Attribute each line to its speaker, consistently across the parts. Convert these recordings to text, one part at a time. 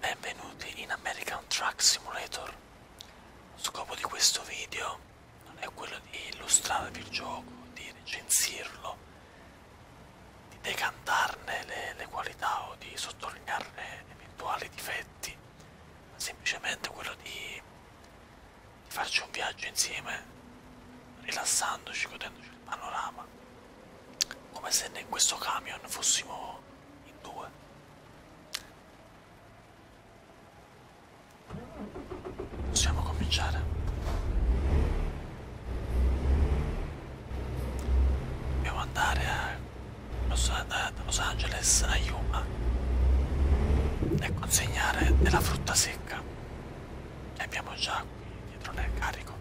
Speaker 1: Benvenuti in American Truck Simulator. Lo scopo di questo video non è quello di illustrarvi il gioco, di recensirlo, di decantarne le, le qualità o di sottolinearne eventuali difetti, ma semplicemente quello di, di farci un viaggio insieme, rilassandoci, godendoci panorama come se in questo camion fossimo in due possiamo cominciare dobbiamo andare a Los, a Los Angeles a Yuma e consegnare della frutta secca ne abbiamo già qui dietro nel carico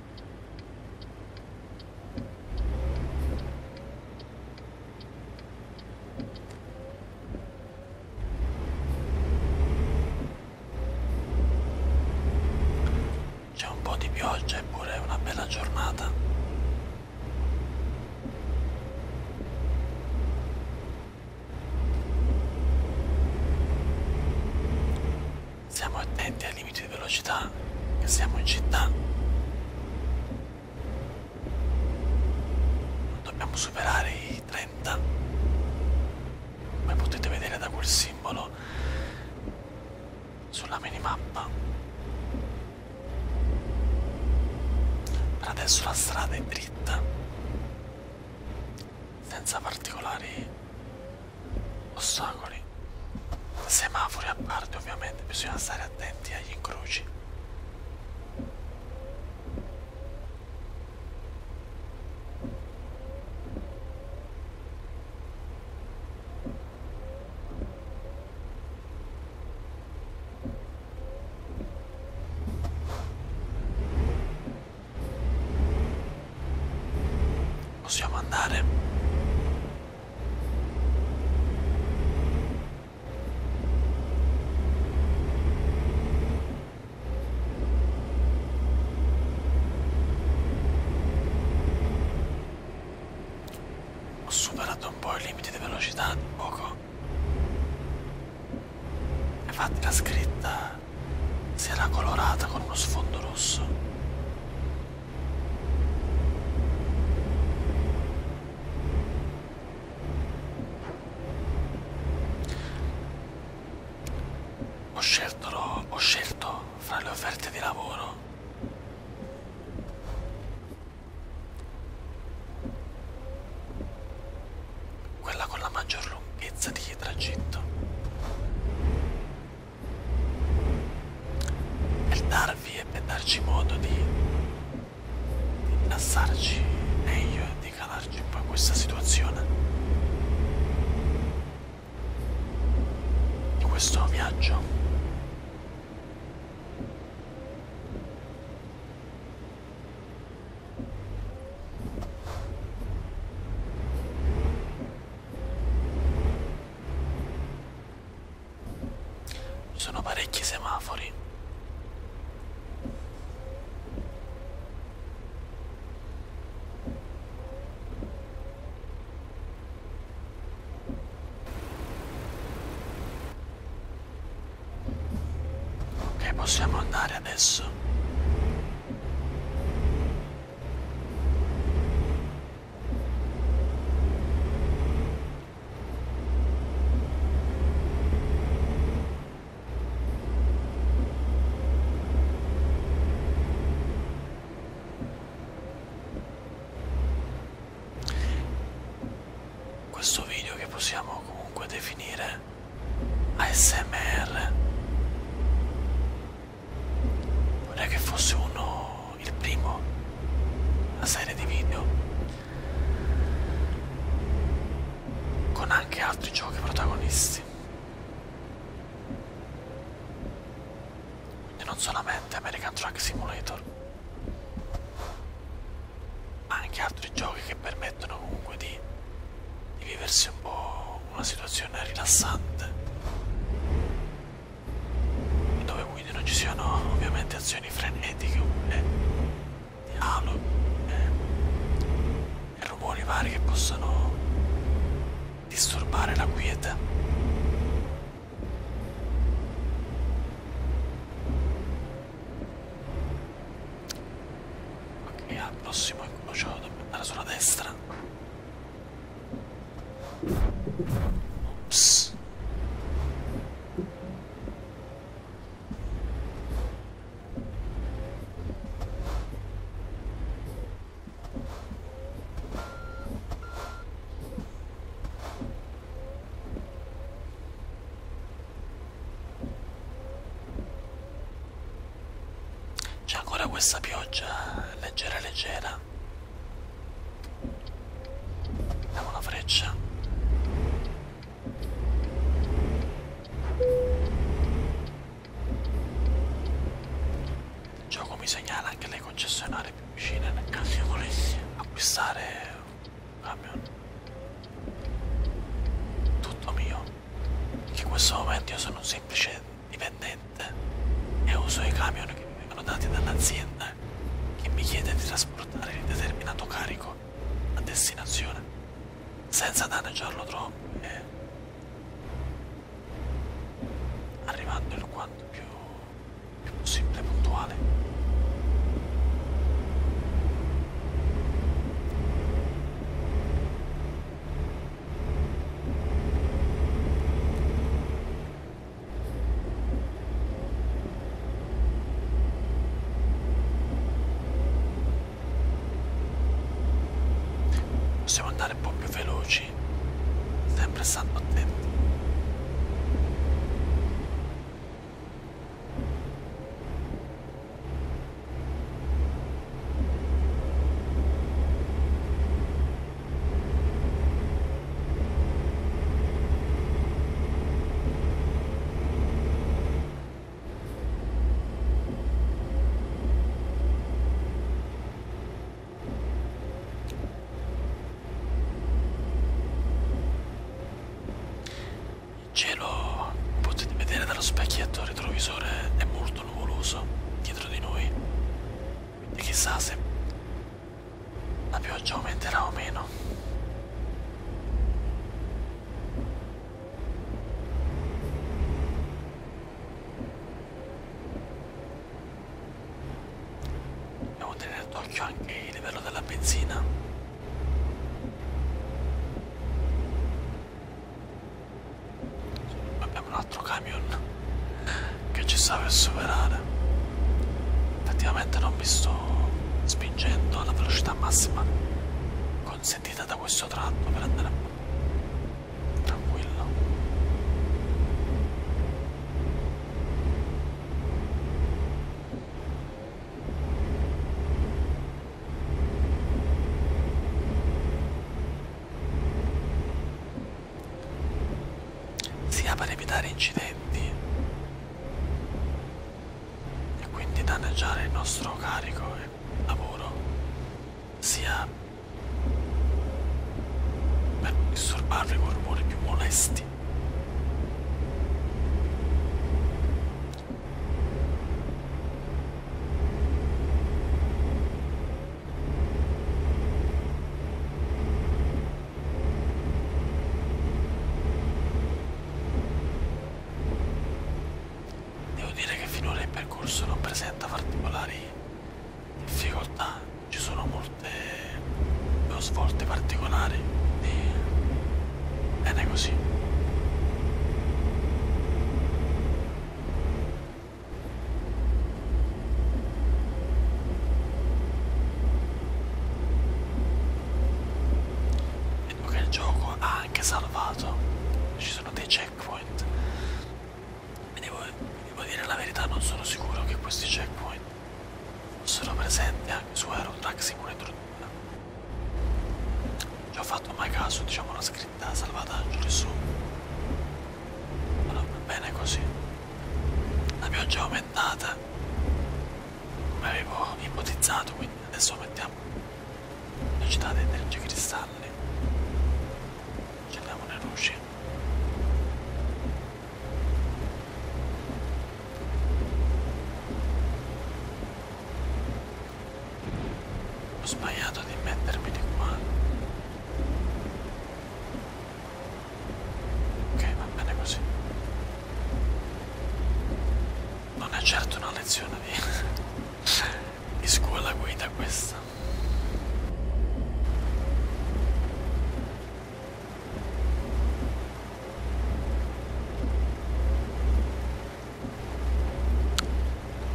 Speaker 1: C'è un po' di pioggia eppure è una bella giornata. Siamo attenti ai limiti di velocità che siamo in città. Non dobbiamo superare i 30. Come potete vedere da quel simbolo sulla minimappa. Per adesso la strada è dritta, senza particolari ostacoli, semafori a parte ovviamente, bisogna stare attenti agli incroci. Possiamo andare ho superato un po' il limite di velocità di poco. Infatti la scritta si era colorata con uno sfondo rosso. Ho scelto, ho scelto fra le offerte di lavoro quella con la maggior lunghezza di tragitto per darvi e per darci modo di, di rilassarci meglio e di calarci un po' in questa situazione di questo viaggio ci sono parecchi semafori. Ok, possiamo andare adesso. Questo video che possiamo comunque definire ASMR non è che fosse uno facciamo il primo una serie di video con anche altri giochi protagonisti quindi non solamente American Truck Simulator ma anche altri giochi che permettono comunque di, di viversi un po' una situazione rilassante dove quindi non ci siano ovviamente azioni frenetiche oppure eh, dialogo e, eh, e rumori vari che possano disturbare la quiete. Ok, al prossimo incrocio dobbiamo andare sulla destra. Psst. C'è ancora questa pioggia leggera leggera freccia Abbiamo una freccia Il gioco mi segnala anche le concessionarie più vicine nel caso io volessi acquistare un camion tutto mio che in questo momento io sono un semplice dipendente niente eh, e uso i camion che mi vengono dati dall'azienda eh, che mi chiede di trasportare il determinato carico a destinazione senza danneggiarlo troppo e arrivando il quanto più, più possibile puntuale. Possiamo andare un po' più veloci, sempre stando attenti. Il cielo, potete vedere dallo specchietto retrovisore, è molto nuvoloso dietro di noi. Quindi chissà se la pioggia aumenterà o meno. Devo tenere d'occhio anche il livello della benzina. Abbiamo un altro caso camion che ci sta per superare effettivamente non mi sto spingendo alla velocità massima consentita da questo tratto per andare tranquillo sia per evitare incidenti e quindi danneggiare il nostro carico e lavoro, sia per disturbarvi con rumori più molesti. Devo dire che finora il percorso non presenta particolari difficoltà, ci sono molte svolte particolari e bene così. Ecco che il gioco ha anche salvato. Ci sono dei checkpoint. Mi devo, mi devo dire la verità, non sono sicuro che questi checkpoint sono presenti anche su Aerotrack Simulator 2. Ci ho fatto mai caso, diciamo, la scritta salvataggio lì su allora, va bene così la pioggia è aumentata come avevo ipotizzato quindi adesso mettiamo velocità dei 13 cristalli accendiamo le luci ho sbagliato di mettermi di qua Ok, va bene così. Non è certo una lezione di, di scuola guida questa.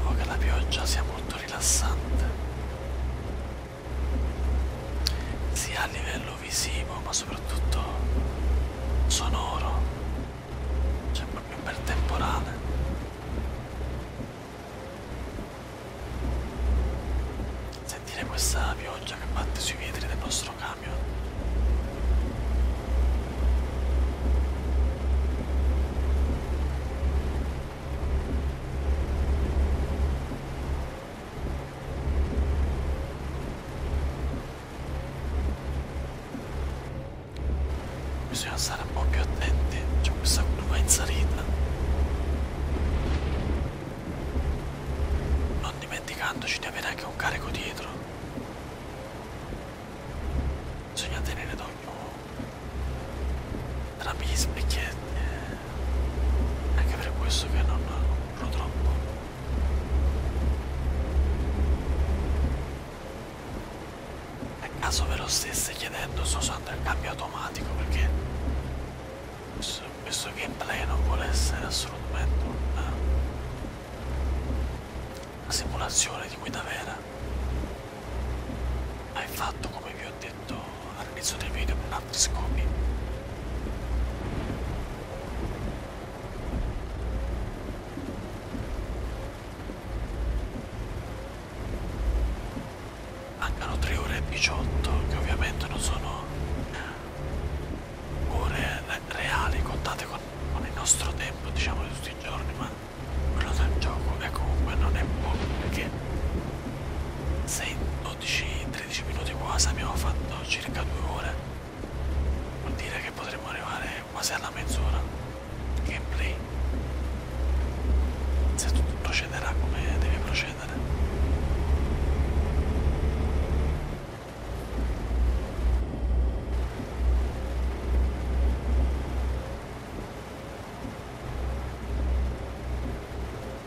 Speaker 1: Oh, che la pioggia sia molto rilassante sia a livello visivo ma soprattutto sonoro cioè proprio per temporale sentire questa pioggia che batte sui vetri del nostro camion Bisogna stare un po' più attenti, c'è questa curva in salita. Non dimenticandoci di avere anche un carico dietro. Bisogna tenere d'occhio la perché eh, anche per questo che non lo troppo a caso ve lo stesse chiedendo sto usando il cambio automatico perché questo, questo gameplay non vuole essere assolutamente una, una simulazione di guida vera hai fatto come vi ho detto all'inizio dei video con altri scopi. Mancano 3 ore e 18 che ovviamente non sono ore reali contate con, con il nostro tempo diciamo di tutti i giorni ma quello del gioco è comunque non è poco perché se in 12 13 minuti quasi abbiamo fatto circa due ore vuol dire che potremmo arrivare quasi alla mezz'ora di gameplay se tutto procederà come deve procedere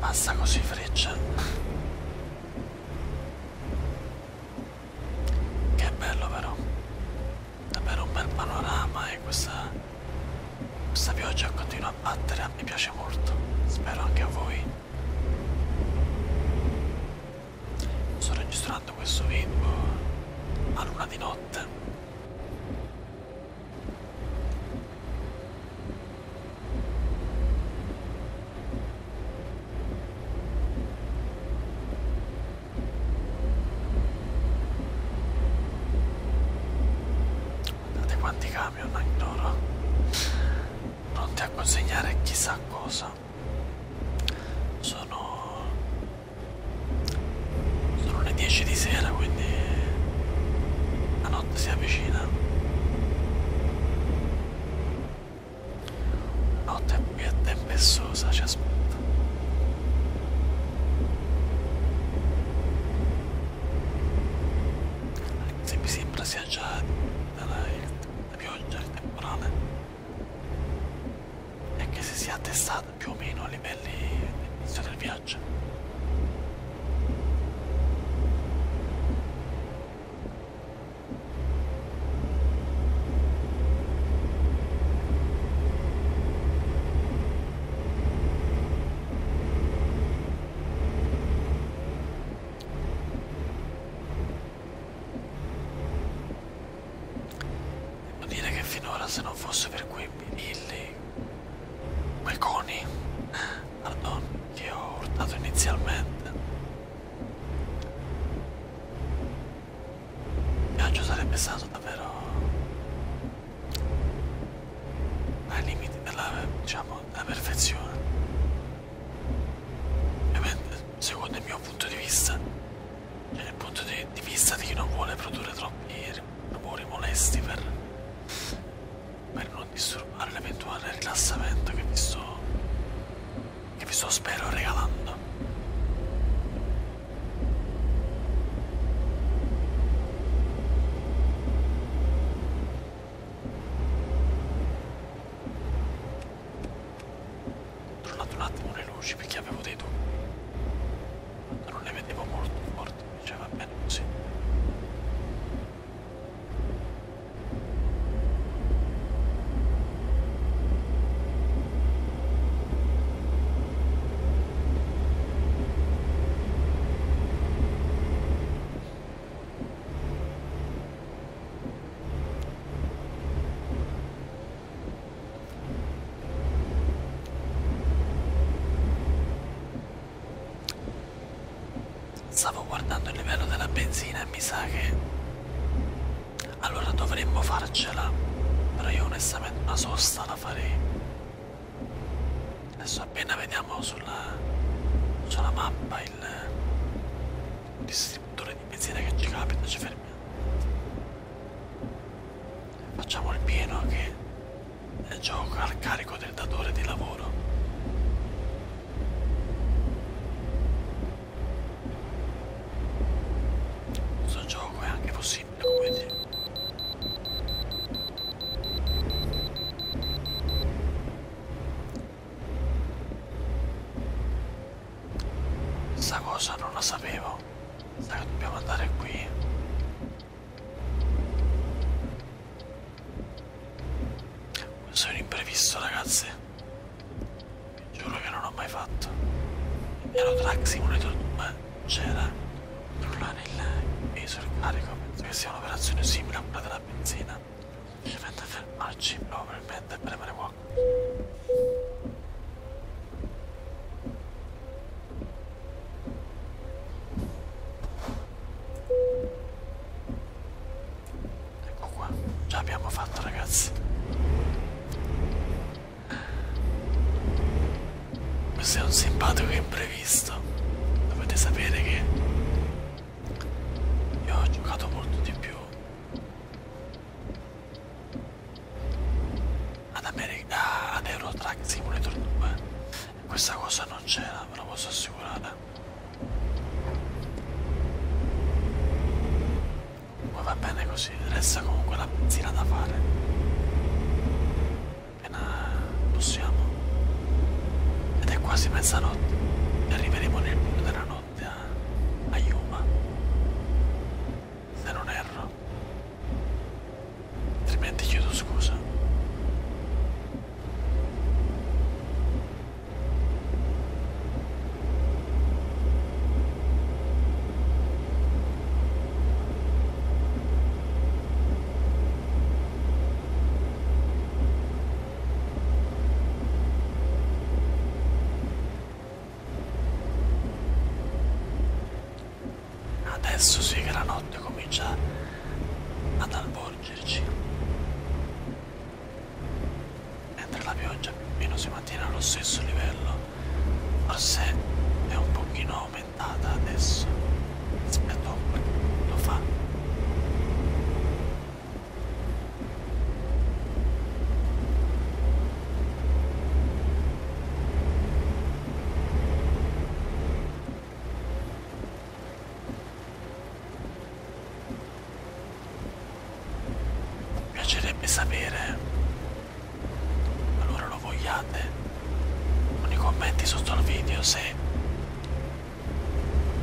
Speaker 1: Basta così freccia. Che bello però. Davvero un bel panorama e questa, questa pioggia continua continuo a battere, mi piace molto. Spero anche a voi. Sto registrando questo video a luna di notte. Guardate quanti cani camion ancora pronti a consegnare chissà cosa sono sono le 10 di sera quindi la notte si avvicina notte più tempessosa ci aspetta se mi sembra sia già dalla, il, la pioggia, il temporale, e che si sia attestata più o meno a livelli dell'inizio del viaggio. Devo dire che finora se non fosse per quei birilli, quei coni, pardon, che ho urtato inizialmente, il viaggio sarebbe stato davvero ai limiti della, diciamo, la perfezione. E beh, secondo il mio punto di vista, cioè il punto di, di vista di chi non vuole produrre troppi rumori molesti per, per non disturbare l'eventuale rilassamento che vi sto, che vi sto spero regalando. Tornato un attimo le luci perché avevo dei dubbi. Non le vedevo molto forti, invece cioè, va bene così. Stavo guardando il livello della benzina e mi sa che... Allora dovremmo farcela, però io onestamente una sosta la farei. Adesso appena vediamo sulla, sulla mappa il distributore di benzina che ci capita ci fermiamo. Facciamo il pieno che è gioco al carico del datore di lavoro. Questo gioco è anche possibile, come dire. Sta cosa non la sapevo. Sai che dobbiamo andare qui. Questo è un imprevisto, ragazzi. Vi giuro che non l'ho mai fatto. Ero Track Simulator 2. C'era. Controllare il peso e il carico. Penso che sia un'operazione simile a quella della la benzina dovete fermarci probabilmente per premere fuoco ecco qua già abbiamo fatto ragazzi questo è un simpatico imprevisto dovete sapere che io ho giocato molto di più ad, America, ad Euro Truck Simulator 2 questa cosa non c'era ve lo posso assicurare ma va bene così resta comunque la benzina da fare appena possiamo. Ed è quasi mezzanotte e arriveremo nel buio della notte a Yuma. Se non erro. Altrimenti chiedo scusa. Adesso sì che la notte comincia ad avvolgerci. Mentre la pioggia più o meno si mantiene allo stesso livello, forse è un pochino aumentata adesso. Lo, lo fa. Mi piacerebbe sapere allora lo vogliate con i commenti sotto al video se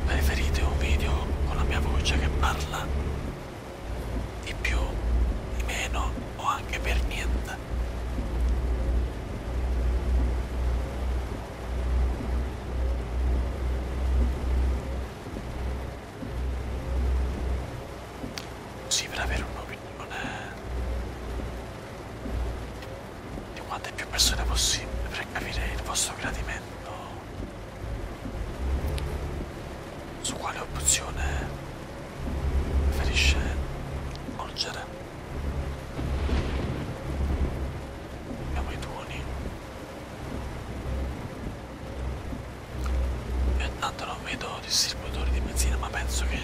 Speaker 1: Preferite un video con la mia voce che parla di più, di meno o anche per niente. Sì, per avere un'opinione di quante più persone possibile per capire il vostro gradimento su quale opzione preferisce volgere abbiamo i tuoni io intanto non vedo distributori di benzina ma penso che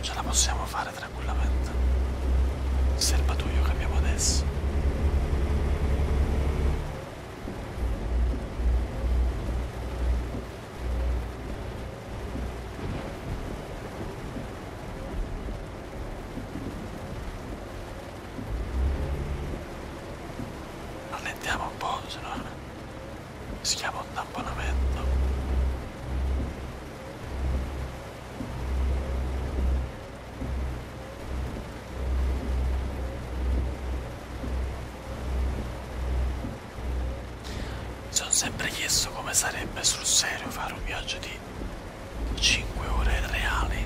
Speaker 1: ce la possiamo fare tranquillamente. Il serbatoio che abbiamo adesso. Allentiamo un po', se no si chiama un tamponamento sono sempre chiesto come sarebbe sul serio fare un viaggio di 5 ore reali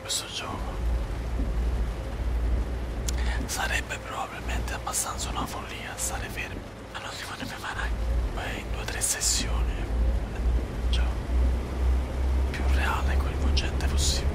Speaker 1: questo gioco sarebbe probabilmente abbastanza una follia stare fermo all'ultimo di mia mano beh, in due o tre sessioni cioè, più reale e coinvolgente possibile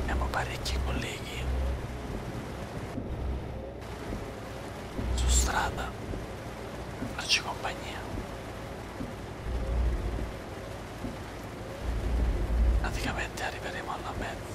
Speaker 1: Abbiamo parecchi colleghi su strada, farci compagnia. Praticamente arriveremo alla mezza.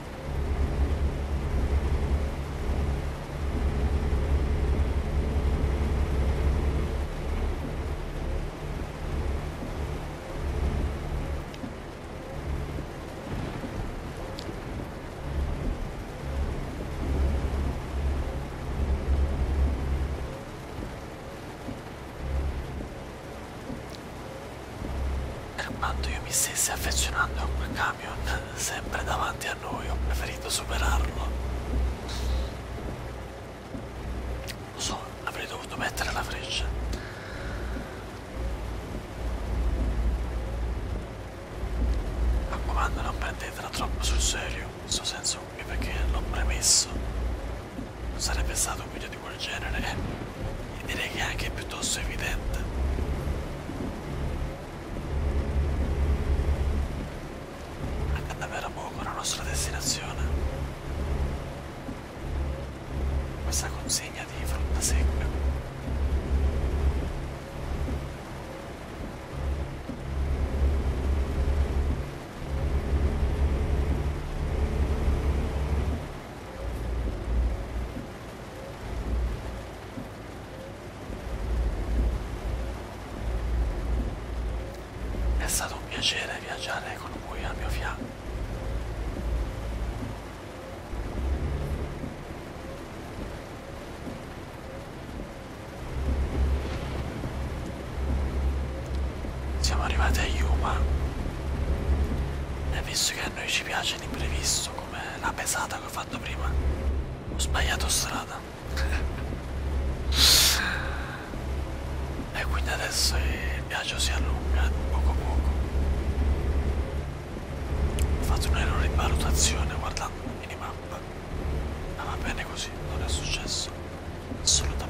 Speaker 1: Armando io mi stessi affezionando a quel camion sempre davanti a noi, ho preferito superarlo. Lo so, avrei dovuto mettere la freccia. Mi raccomando, non prendetela troppo sul serio, questo senso qui perché l'ho premesso. Non sarebbe stato un video di quel genere. Eh. E direi che è anche piuttosto evidente. Andando a vera poco la nostra destinazione. Questa consegna di frutta secca. È stato un piacere viaggiare con voi al mio fianco. Siamo arrivati a Yuma e visto che a noi ci piace l'imprevisto come la pesata che fa fatto prima. Ho sbagliato strada. e quindi adesso il viaggio si allunga poco a poco. Ho fatto un errore di valutazione guardando la minimappa. Ah, Ma va bene così, non è successo. Assolutamente.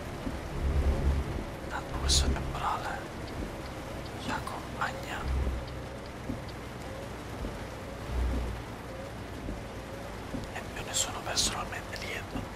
Speaker 1: dal polso temporale ci accompagna e io ne sono personalmente lieto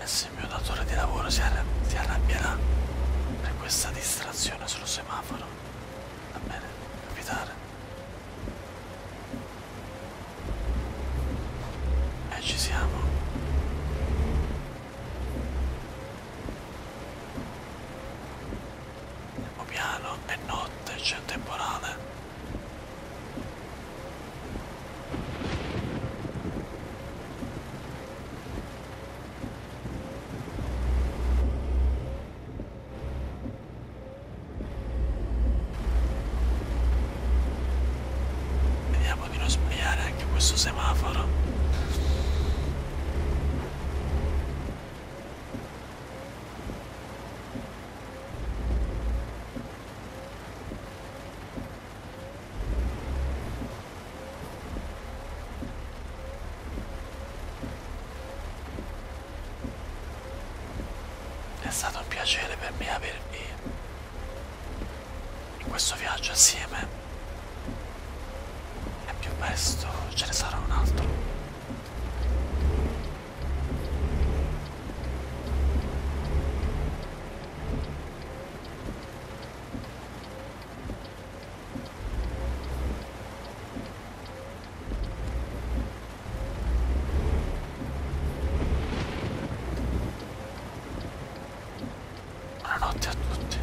Speaker 1: E se il mio datore di lavoro si, arra si arrabbierà per questa distrazione sul semaforo, va bene, capitare. E ci siamo. Andiamo piano, è notte, c'è un temporale. Vediamo di non sbagliare anche questo semaforo. È stato un piacere per me avervi in questo viaggio assieme e più presto ce ne sarà un altro. Buonanotte a tutti.